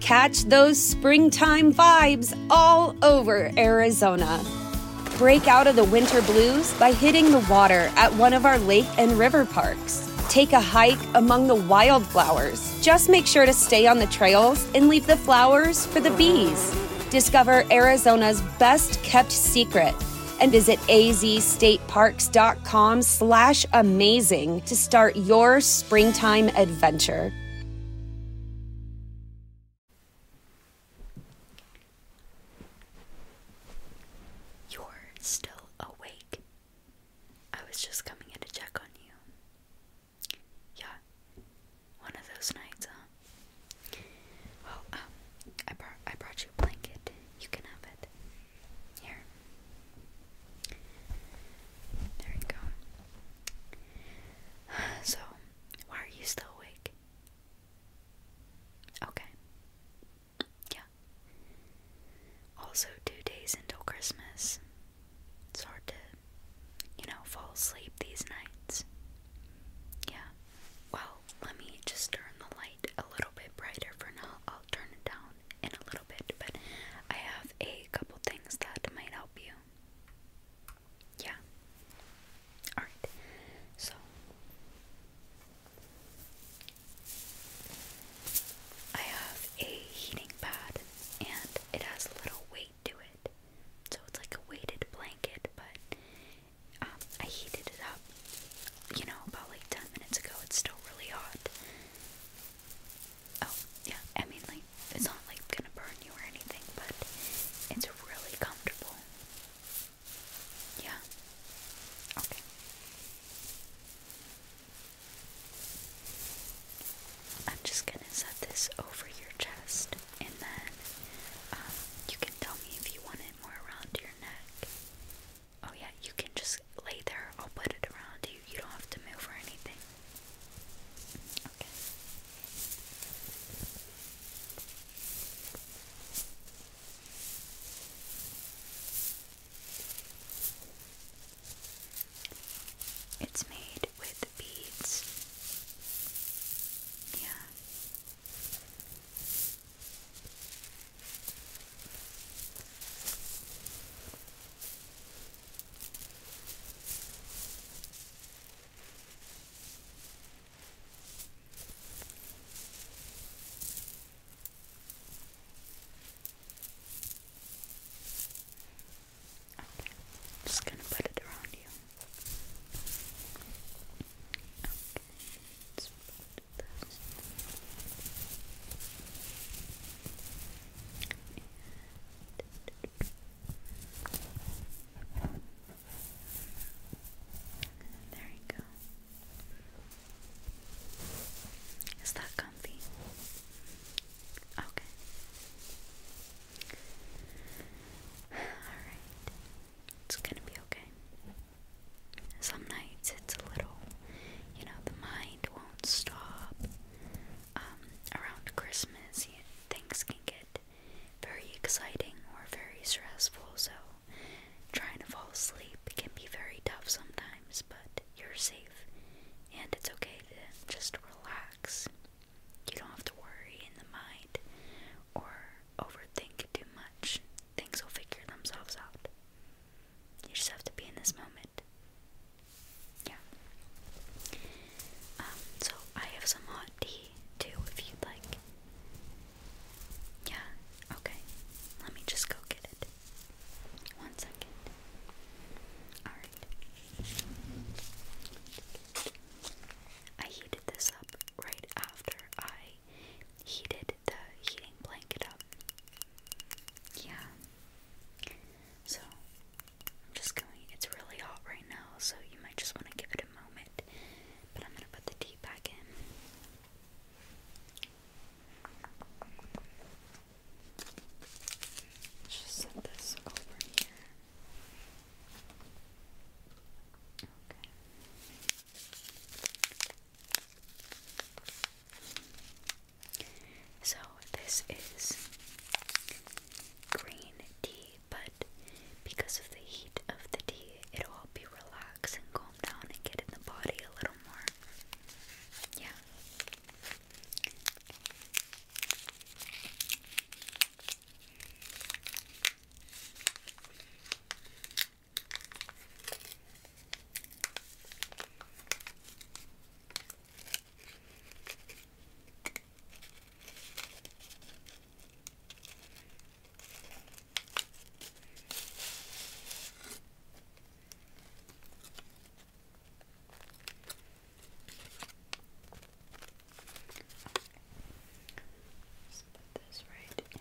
Catch those springtime vibes all over Arizona. Break out of the winter blues by hitting the water at one of our lake and river parks. Take a hike among the wildflowers. Just make sure to stay on the trails and leave the flowers for the bees. Discover Arizona's best kept secret and visit azstateparks.com slash amazing to start your springtime adventure. You're still awake. I was just coming in to check on you. Yeah, one of those nights, huh? Well, um, I, brought, I brought you a blanket. You can have it. Here. There you go. So, why are you still awake? Okay. Yeah. Also, two days until Christmas. It's hard to, you know, fall asleep these nights. Yeah. Well, let me just turn the light a little bit brighter for now. I'll turn it down in a little bit, but I have a couple things that might help you. Yeah. Alright, so I have a heating pad and it has a little weight to it. So it's like a weighted blanket, but um, I heated it up, you know, about like 10 minutes ago. It's still really hot. Oh, yeah, I mean, like, it's not like gonna burn you or anything, but it's really comfortable. Yeah. Okay. I'm just gonna set this over your chest, and then um, you can tell me if you want it more around your neck. Oh yeah, you can just lay there. I'll put it around you. You don't have to move or anything. It's made with beads. Yeah. Okay, just gonna put it around you. Okay, let's put this. There you go. Is that comfy? Okay. Alright. It's gonna be okay. Some nights it's a little you know, the mind won't stop. Um, around Christmas, things can get very exciting or very stressful, so trying to fall asleep can be very tough sometimes, but you're safe and it's okay to just relax. You don't have to worry in the mind or overthink too much. Things will figure themselves out. You just have to be in this moment. Yeah. Um, so I have some hot tea too if you'd like. Yeah, okay. Let me just go get it. One second. Alright. I heated this up right after I heated the heating blanket up. Yeah. So, I'm just going, it's really hot right now, so you might just want to give it a moment. But I'm gonna put the tea back in. Just set this over here. Okay. So this is green tea, but because of the heat of the tea, it'll help you relax and calm down and get in the body a little more. Yeah. Let's put this right in.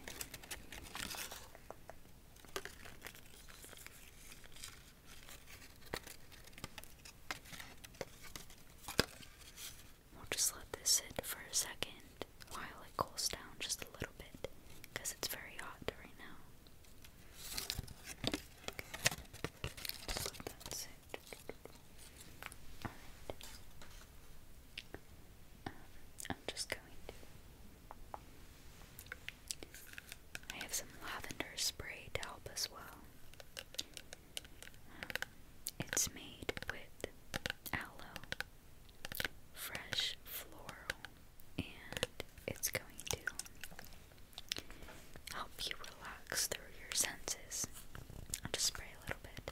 We'll just let this sit for a second while it cools down just a little bit because it's very hot right now. I'm just going to. I have some lavender spray to help as well. it's made with aloe, fresh floral, and it's going to help you relax through your senses. I'll just spray a little bit.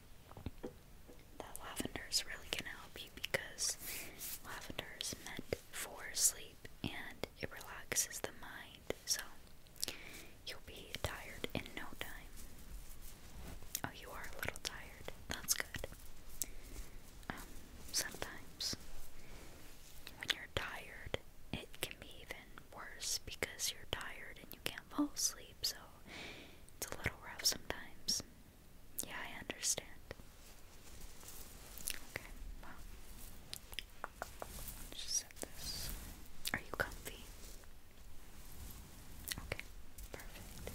That lavender is really going to help you because lavender is meant for sleep and it relaxes the mind, so you'll be tired in no time. Oh, you are a little tired. That's good. Um, sometimes when you're tired, it can be even worse because you're tired and you can't fall asleep, so it's a little rough sometimes. Yeah, I understand. Okay, just set this. Are you comfy? Okay, perfect.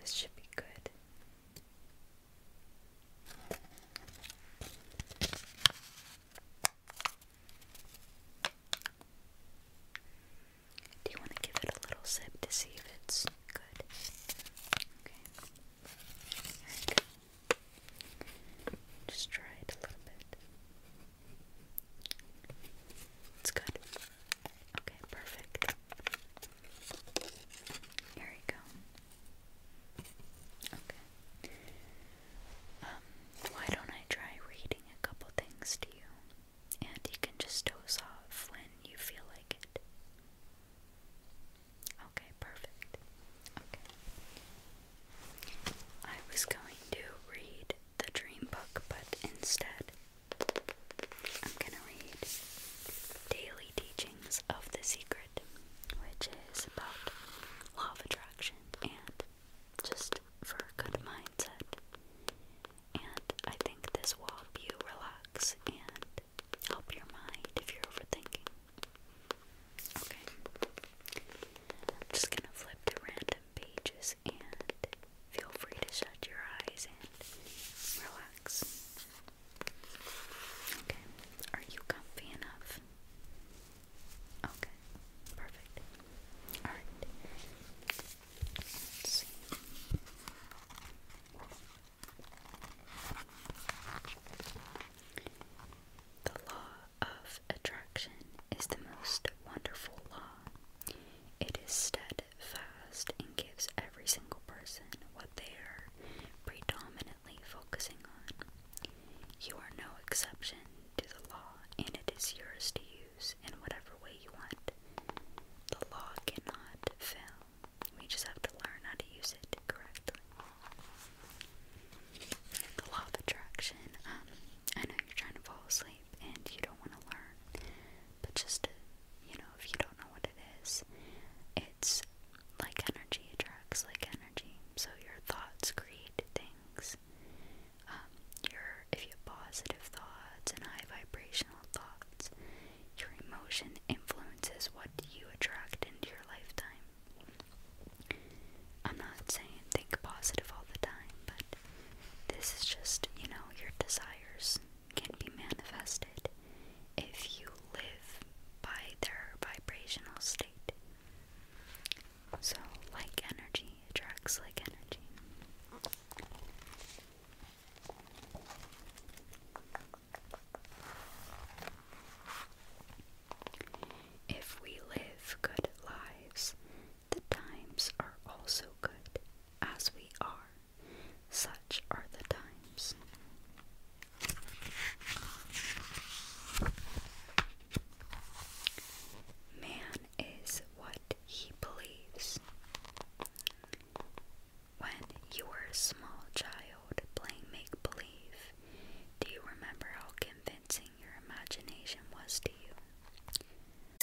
This should be good. Do you want to give it a little sip to see if it's good? Okay. There you go. Just try it a little bit. It's good. Okay, perfect. Here we go. Okay. Um, why don't I try reading a couple things to you? And you can just doze off when you feel like it. Okay, perfect. Okay. I was going to read the dream book, but instead, I'm gonna read Daily early teachings of The Secret, which is about law of attraction and just for a good mindset. And I think this will help you relax and help your mind if you're overthinking. Okay. I'm just gonna flip to random pages and feel free to shut your eyes and relax. Okay, are you comfy enough? Okay, perfect. Alright, The law of attraction is the most wonderful law. It is steady fast and gives every single person what they are predominantly focusing on. You are no exception to the law, and it is yours to use in whatever way you want. The law cannot fail. We just have to learn how to use it correctly. The law of attraction. Um, I know you're trying to fall asleep and you don't want to learn, but just you know, if you don't know what it is, it's like energy attracts like energy. So your thoughts create things. Um, your if you have positive thoughts and high vibrational thoughts, your emotion influences what you attract into your lifetime. I'm not saying think positive all the time, but this is just, you know, your desires can be manifested if you live by their vibrational state. So, like energy attracts like energy. If we live good lives, the times are also good, as we are such are the times. Man is what he believes. When you were a small child playing make believe, do you remember how convincing your imagination was to you?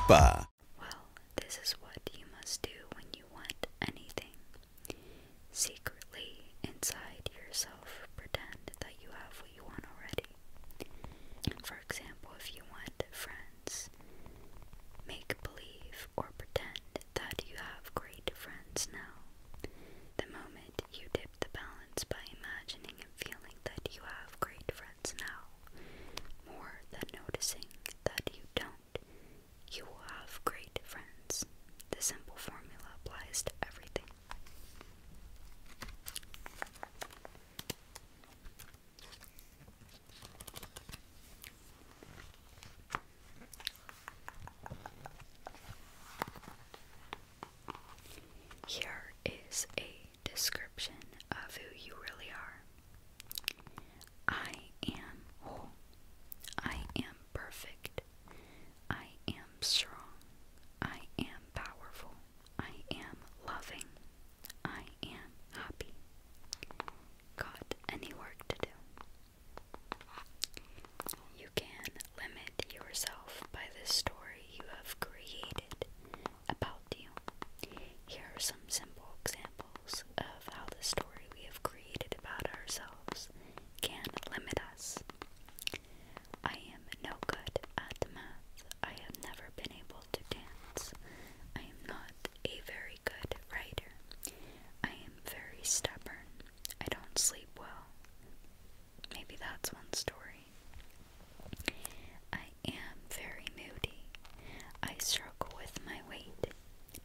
ba Well, this is what you must do when you want anything. Secretly, inside yourself, pretend that you have what you want already. For example, if you want friends, make believe or pretend that you have great friends now. The moment you dip the balance by imagining and feeling that you have great friends, now, more than noticing that you don't. You will have great friends. The simple formula applies to everything. Here is a description of who you really are. I am whole. I am perfect. I am strong. I am powerful. I am loving. I am happy. Got any work to do? You can limit yourself by the story you have created about you. Here are some simple examples of how the story we have created about ourselves can limit us. I am no good at math. I have never been able to dance. I am not a very good writer. I am very stubborn. I don't sleep well maybe that's one story. I am very moody. I struggle with my weight.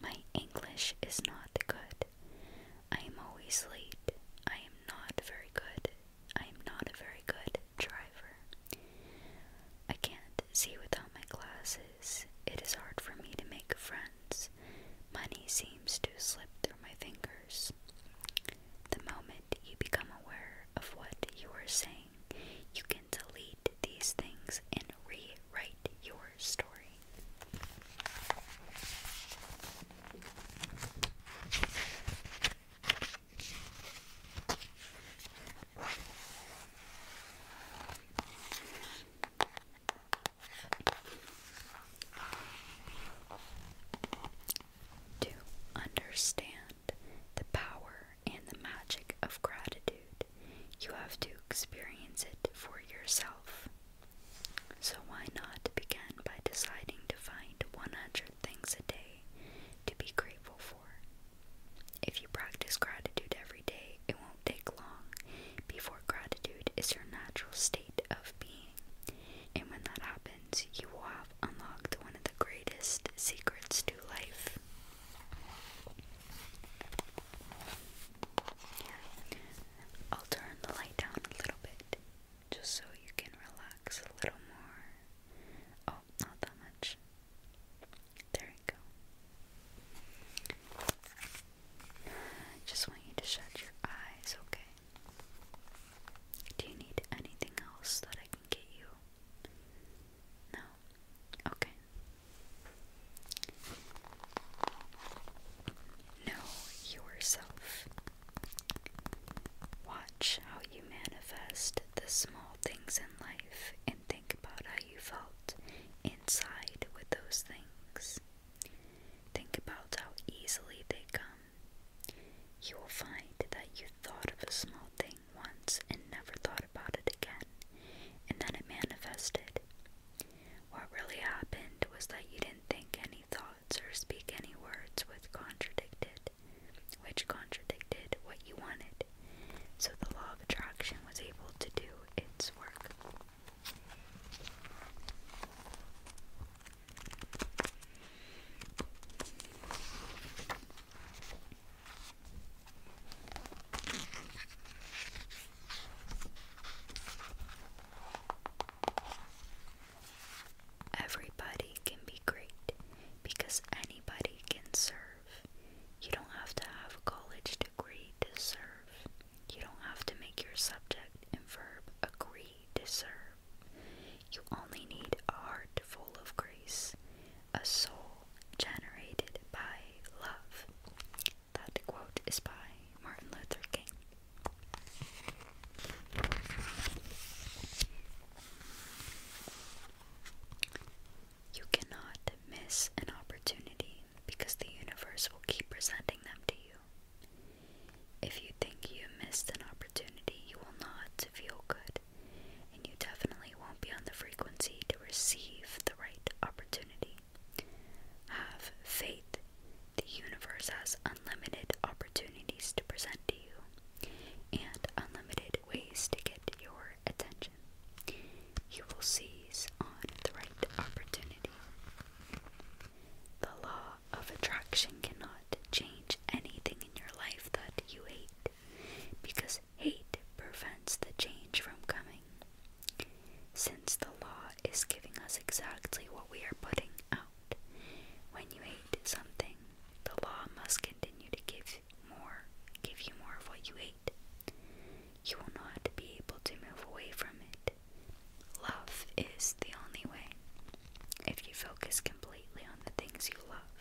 My English is not good. I am always late. I am not very good. I am not a very good driver. I can't see without my glasses. It is hard for me to make friends. Money seems to slip through my fingers. The moment you become aware of what you are saying, you can delete these things and rewrite your story to understand the power and the magic of gratitude, you have to experience it for yourself. So, why not begin by deciding to find 100 things a day to be grateful for? If you practice gratitude every day, it won't take long before gratitude is your natural state of being. And when that happens, you will have unlocked one of the greatest secrets to life. I'll turn the light down a little bit just so you can relax a little more. Oh, not that much. There you go. just want you to shut your eyes, okay? Do you need anything else that I can get you? No? Okay. Know yourself. Watch how you manifest the small things in life and think about how you felt inside with those things. Think about how easily they come you will find that you thought of a small thing once and never thought about it again, and then it manifested. What really happened was that you didn't think any thoughts or speak any words which contradicted, which contradicted what you wanted. So the law of attraction was able to do its work. Everybody can be great because anybody can serve. You don't have to have a college degree to serve. You don't have to make your subject and verb agree you only need a heart full of grace, a soul generated by love. That quote is by Martin Luther King. You cannot miss an opportunity because the universe will keep presenting them to you. If you think you missed an opportunity, you will not feel good, and you definitely won't be on the frequency to receive the right opportunity. Have faith. The universe has unlimited opportunities to present to you and unlimited ways to get your attention. You will seize on the right opportunity. The law of attraction cannot change anything in your life that you hate, because hate prevents the change from coming. Since the law is giving us exactly what we are putting out, when you hate something, the law must continue to give more, give you more of what you hate. You will not be able to move away from it Love is the only way. If you focus completely on the things you love,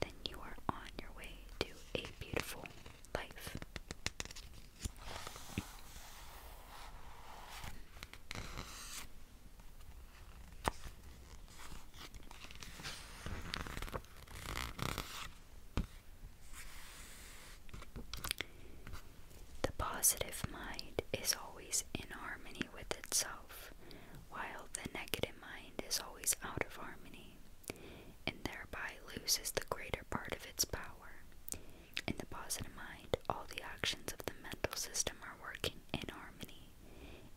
then you are on your way to a beautiful life. The positive mind is always in harmony with itself, while the negative mind is always out of harmony, and thereby loses the greater part of its power. In the positive mind, all the actions of the mental system are working in harmony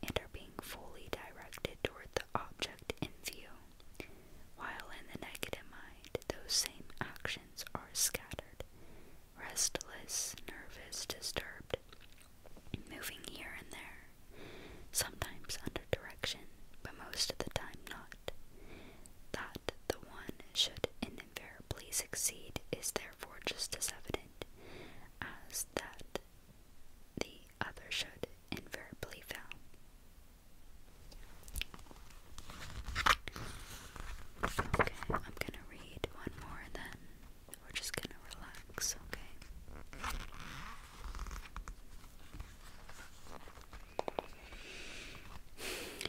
and are being fully directed toward the object in view, while in the negative mind, those same actions are scattered, restless, nervous, disturbed, moving here and there, sometimes under direction, but most of the time not. That the one should invariably succeed is therefore just as evident as that the other should invariably fail. Okay, I'm gonna read one more and then we're just gonna relax, okay?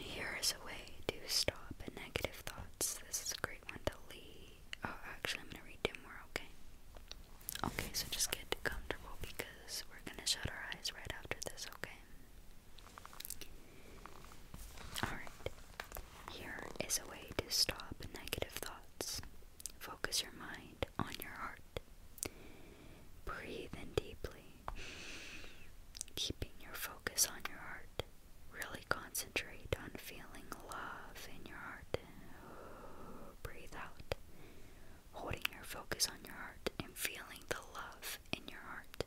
Here is a way to stop negative thoughts. This is a great one to leave. Oh, actually, I'm gonna read two more, okay? Okay, so just get comfortable because we're gonna shut our eyes right after this, okay? Alright, here is a way to stop negative thoughts. Focus your mind on your heart. Breathe in deeply, keeping your focus on your heart. Really concentrate on feeling love in your heart. breathe out, holding your focus on your heart and feeling the love in your heart.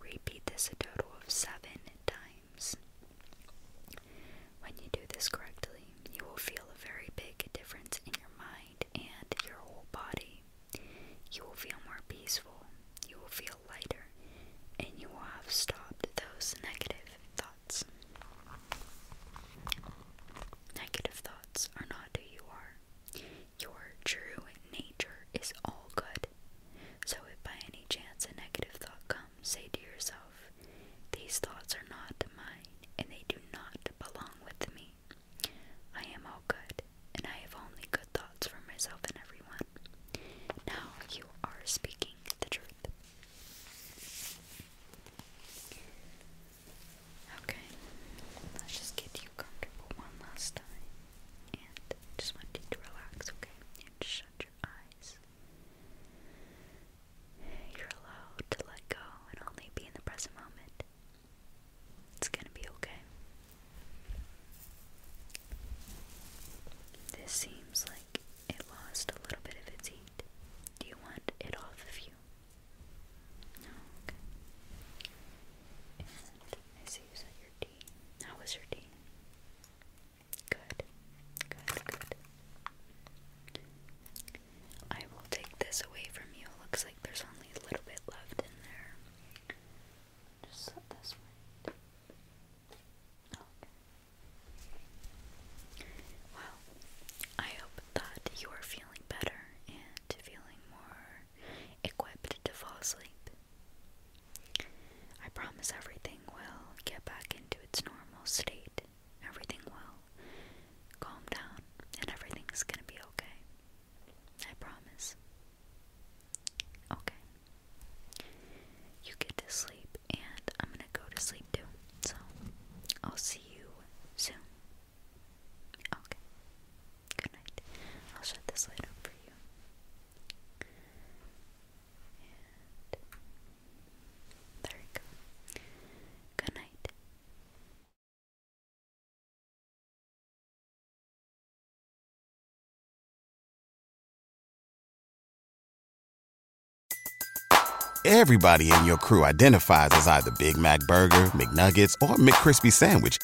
Repeat this a total of seven times. When you do this correctly, you will feel a very big difference in your mind and your whole body. You will feel more peaceful, you will feel lighter, and you will have stopped those negative thoughts. Negative thoughts are not who you are. Your true nature is all good. So, if by any chance a negative thought comes, say to yourself, These thoughts are not mine, and they do not belong with me. I am all good, and I have only good thoughts for myself and everyone. Now you are speaking the truth. Okay, let's just get you comfortable one last time. And just want you to relax, okay? And shut your eyes. You're allowed to let go and only be in the present moment. It's gonna be okay. This seems like it lost a little bit of its heat. Do you want it off of you? No, I see you said your tea. How was your tea? Good. Good, good. I will take this away from you. looks like there's only a little bit left in there. Just this right. Okay. Well, I hope that you are feeling better and feeling more equipped to fall asleep. I promise everything will get back into its normal state. Everything will calm down and everything's gonna be okay. I promise. Okay. You get to sleep, and I'm gonna go to sleep too. So, I'll see you soon. Okay. Good night. I'll shut this light up for you. there you go. Good night. Everybody in your crew identifies as either Big Mac burger, McNuggets, or McCrispy sandwich